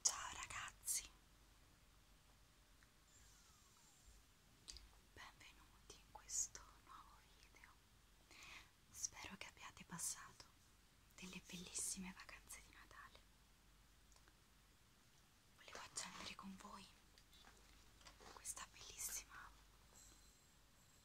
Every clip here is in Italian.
Ciao ragazzi, benvenuti in questo nuovo video. Spero che abbiate passato delle bellissime vacanze di Natale. Volevo accendere con voi questa bellissima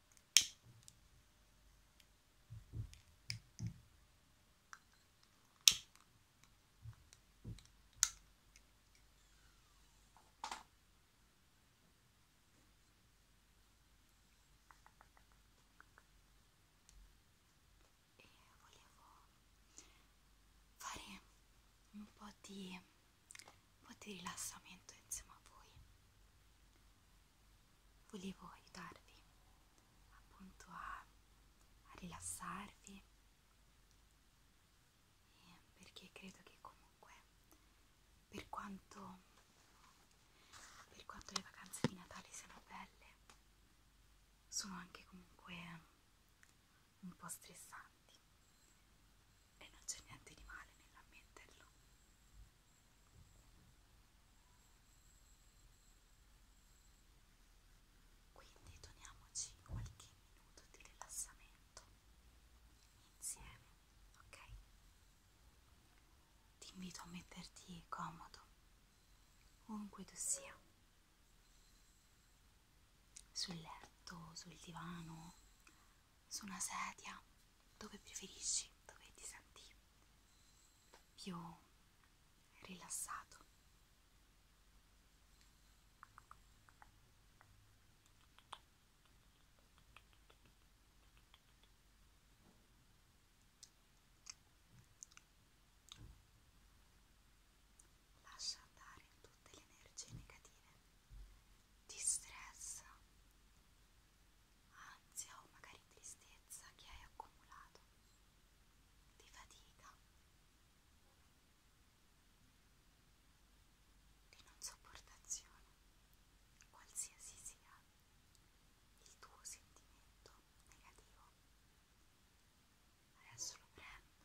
e volevo fare un po' di un po' di rilassamento insieme a voi volevo aiutarvi appunto a, a rilassarvi eh, perché credo che comunque per quanto per quanto le vacanze di Natale siano belle sono anche comunque un po' stressanti e non c'è niente di male nell'ammetterlo. Quindi toniamoci qualche minuto di rilassamento insieme, ok? Ti invito a metterti comodo, ovunque tu sia, sul letto, sul divano, su una sedia dove preferisci, dove ti senti più rilassato. Lascia andare tutte le energie negative di stress, ansia o magari tristezza che hai accumulato, di fatica, di non sopportazione, qualsiasi sia il tuo sentimento negativo. Adesso lo prendo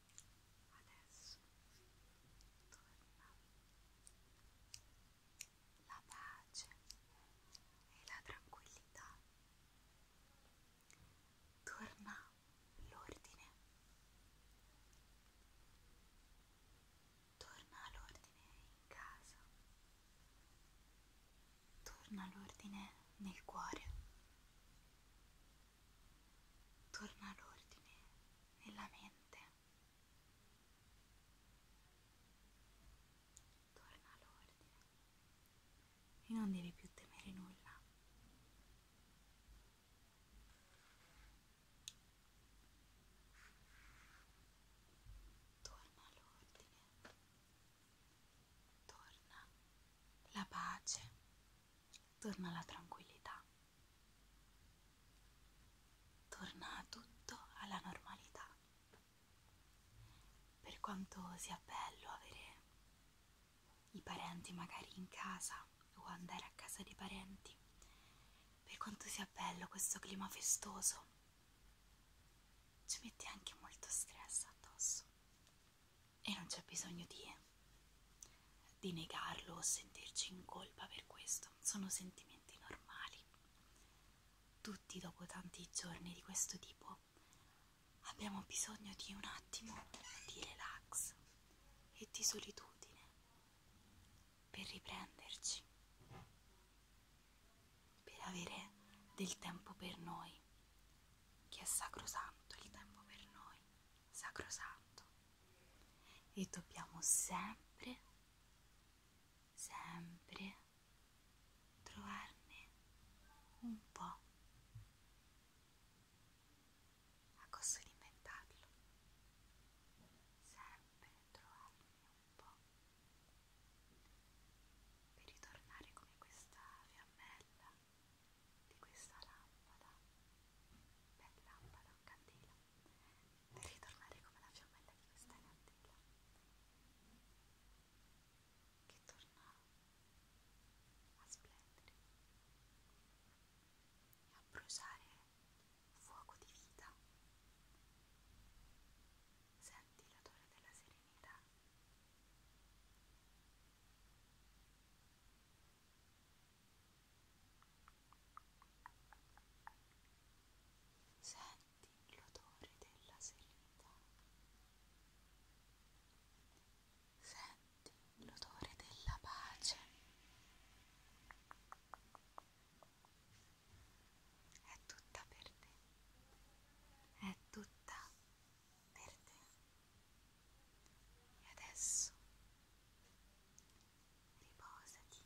Adesso torna la pace e la tranquillità. Torna l'ordine. Torna l'ordine in casa. Torna l'ordine nel cuore torna l'ordine nella mente, torna l'ordine e non devi più temere nulla. Torna l'ordine torna la pace, torna la tranquillità, torna tutto alla normalità. Per quanto sia bello avere i parenti magari in casa o andare a casa dei parenti, per quanto sia bello questo clima festoso, ci metti anche molto stress addosso e non c'è bisogno di, di negarlo o sentirci in colpa per questo, sono sentimenti normali. Tutti dopo tanti giorni di questo tipo abbiamo bisogno di un attimo di relax e di solitudine per riprenderci per avere del tempo per noi, che è sacrosanto il tempo per noi, sacrosanto. E dobbiamo sempre, sempre trovarne un po'. A costo di inventarlo. Sempre trovarne un po' per ritornare come questa fiammella di questa lampada per lampada o candela per ritornare come la fiammella di questa candela che torna a splendere e a bruciare fuoco di vita senti l'odore della serenità. Senti l'odore della serenità. Senti l'odore della pace. È tutta per te. È tutta per te. E adesso riposati.